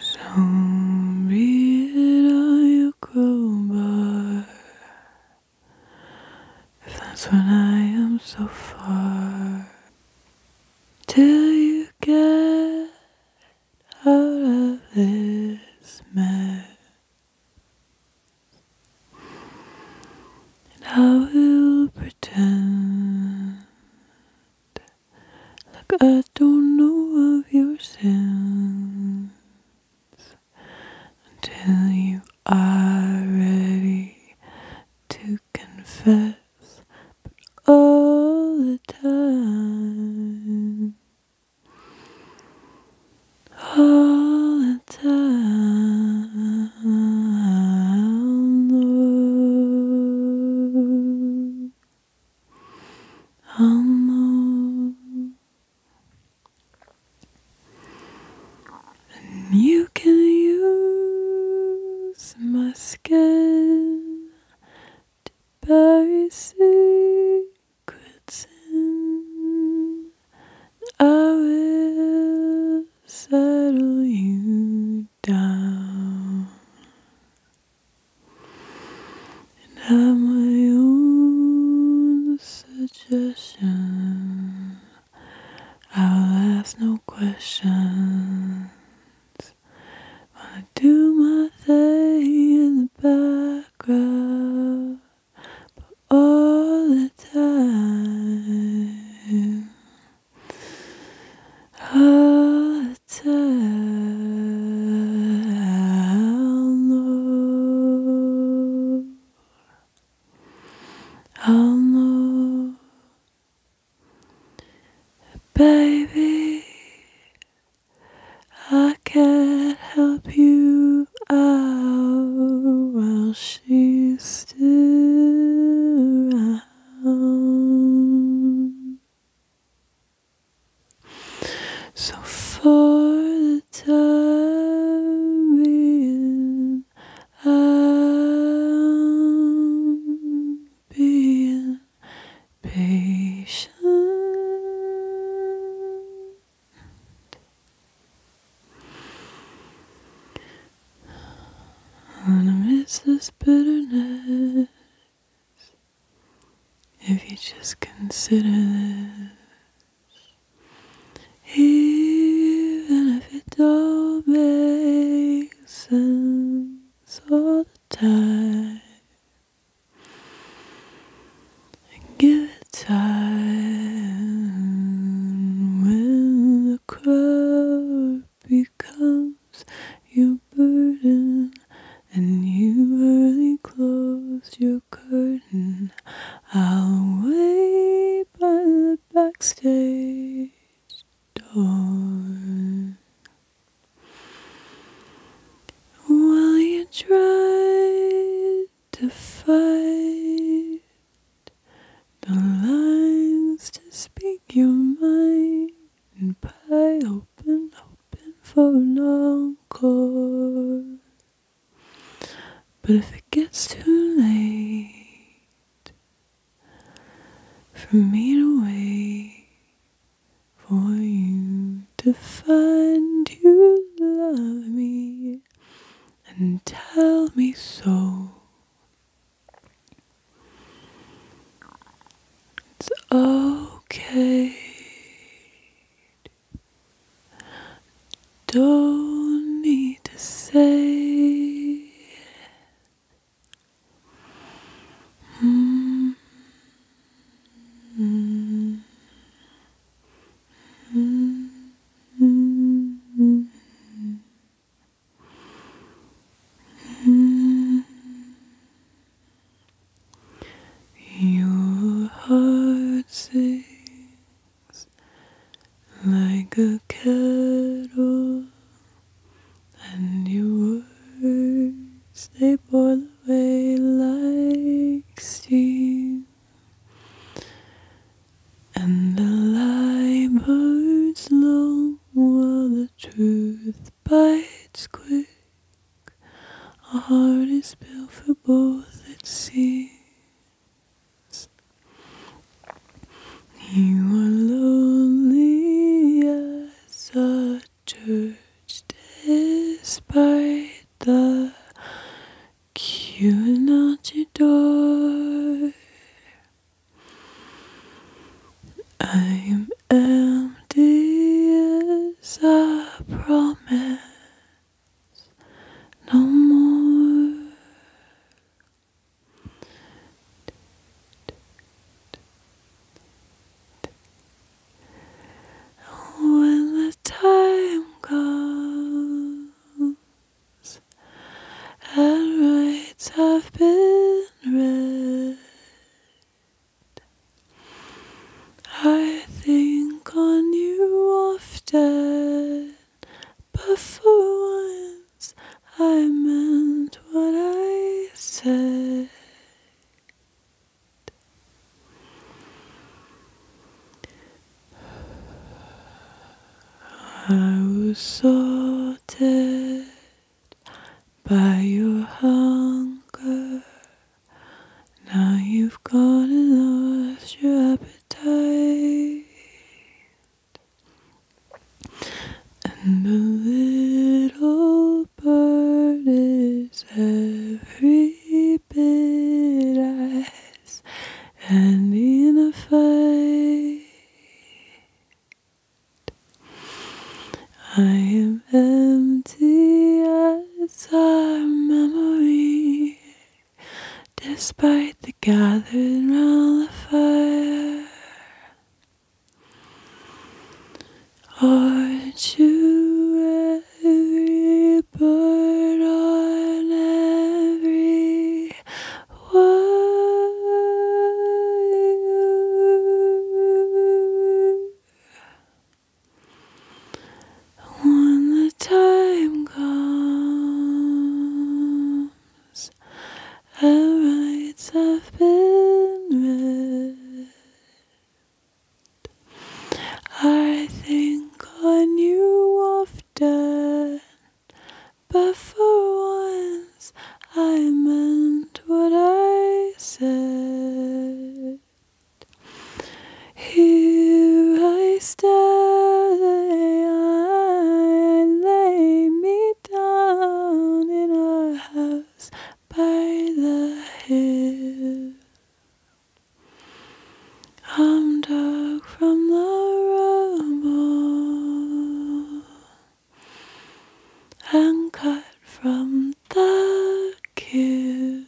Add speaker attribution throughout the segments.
Speaker 1: So be it I by If that's when I am so far Till you get out of this mess and I will pretend like I don't know of your sins until you are ready to confess, but all the time all the time. Lord. I'll know. you can use my skin to bury secrets in. I will settle you down and have my own suggestion. I will ask no questions. I'll do my thing in the background but all the time, all the time, Lord, I'll know, baby. I can't help you. Oh, while she's still around. So for the time being, I'm being patient. Gonna miss this bitterness, if you just consider this, even if it don't make sense all the time, and give time when the crowd becomes your burden and you early close your curtain, I'll wait by the backstage door. While you try to fight the lines to speak your mind and pie open, open for long encore. But if it gets too late for me to wait for you to find you love me and tell me so. It's okay. Don't need to say it. Mm-hmm. Mm-hmm. Your heart sings like a kettle, and your words they boil away like steam. And the lie burns long while the truth bites quick. Our heart is built for both, it seems. You are lonely as a church, despite the Cute door. I'm empty as I promise, no more. When the time comes and rights have been read. I think on you often, but for once I meant what I said. I was sorted by your hunger. Now you've gone and lost your appetite. And the little bird is every bit I and in a fight. I am empty as our memory, despite the gathered round the fire. Aren't every bird on every when the time comes, our rights have been read. I think on you often. But for once I meant what I said. Here I stay, lay me down in our house by the hill. I'm dark from the rubble and cut from the queue.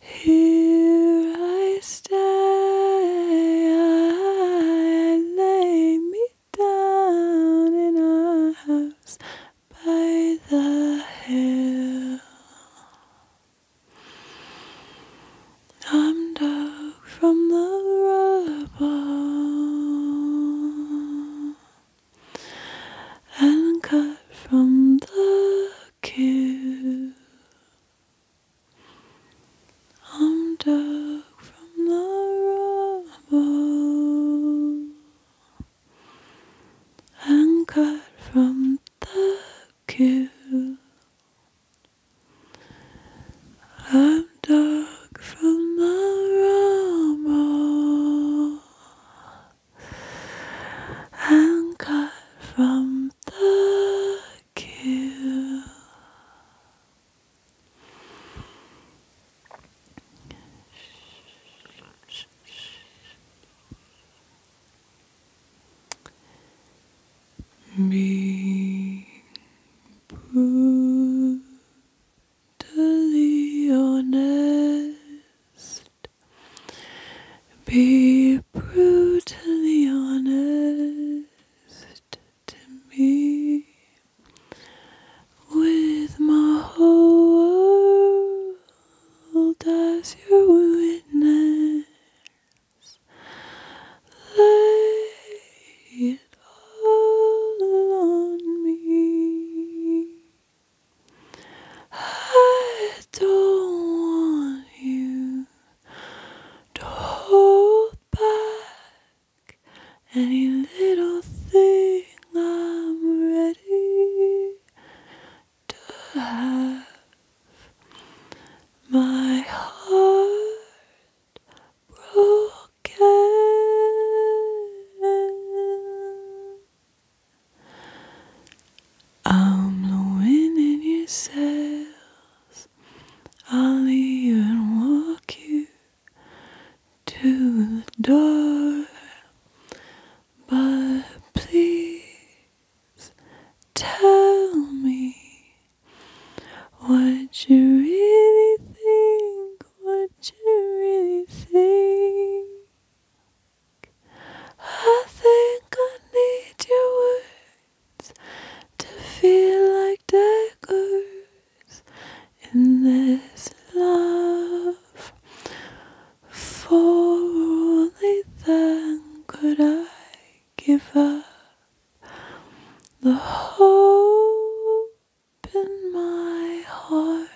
Speaker 1: Here I stay, I lay me down in a house by the hill. I'm dug from the rubble and cut from the queue. I'm dug from the rubble and cut from the kill. I'm dark from the rumble and cut from the kill. Being brutally honest, be brutally honest to me with my whole world as your witness. Lay it all on me. I don't want you to hold back any little thing. I'm ready to have my heart broken. I'm the your sails. I'll even walk you to the door. But please Tell me what you really think, what you really think. I think I need your words to feel like daggers in this love. For only then could I give up the hope in my heart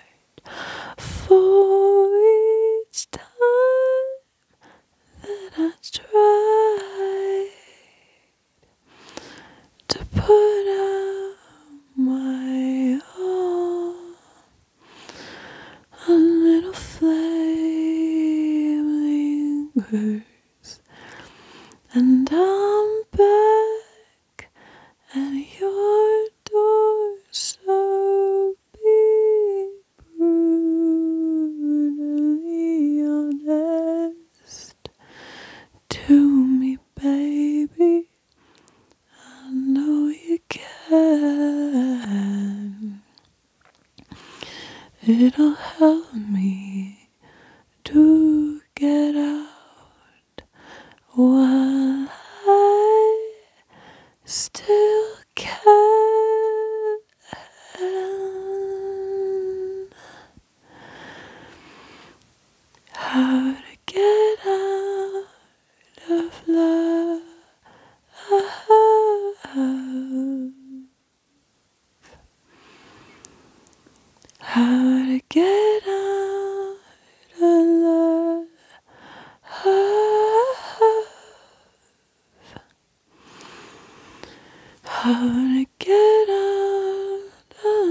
Speaker 1: for each time that I try to put out my all a little flame lingers, and I'm back at your door, so be brutally honest to me, baby. I know you can. It'll help me to get out while I still can. How to get out of love. How to get out of love. How to get out of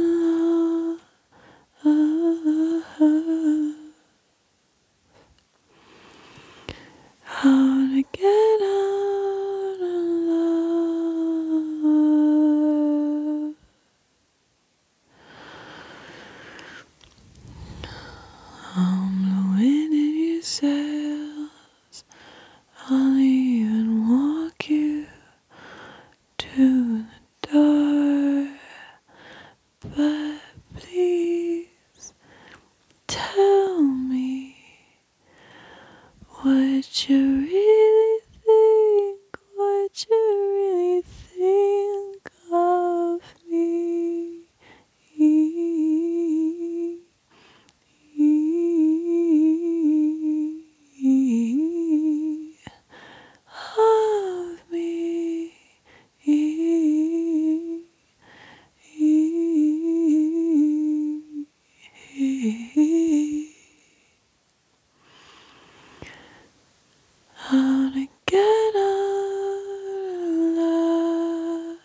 Speaker 1: love. How to get out of I'm blowing in your sails. I'll even walk you to the door. But please tell me what you really think, what you really think of me. of me. How to get out of love.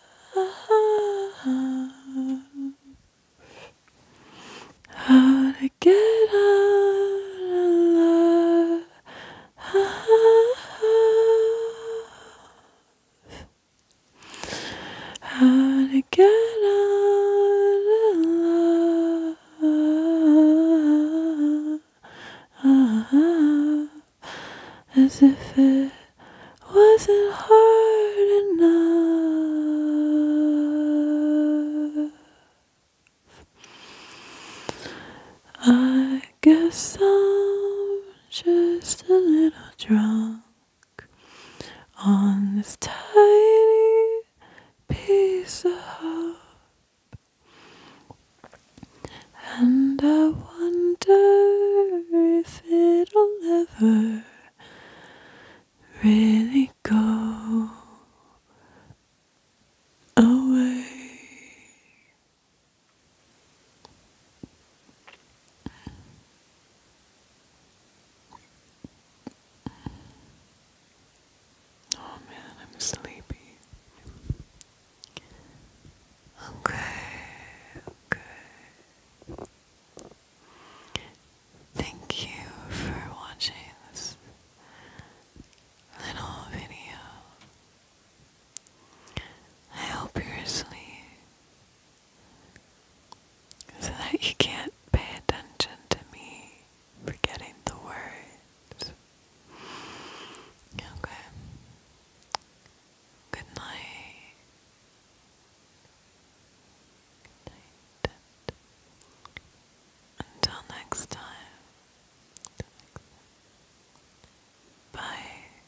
Speaker 1: How to get out of love. How to get out of as if it wasn't hard enough. I guess I'm just a little drunk on this tiny piece of hope. And I wonder if it'll ever really go away. Oh man, I'm sleepy. Okay, okay. Thank you for watching this little video. I hope you're asleep so that you can't pay attention to me forgetting the words. Okay. Good night. Good night. Until next time. Bye.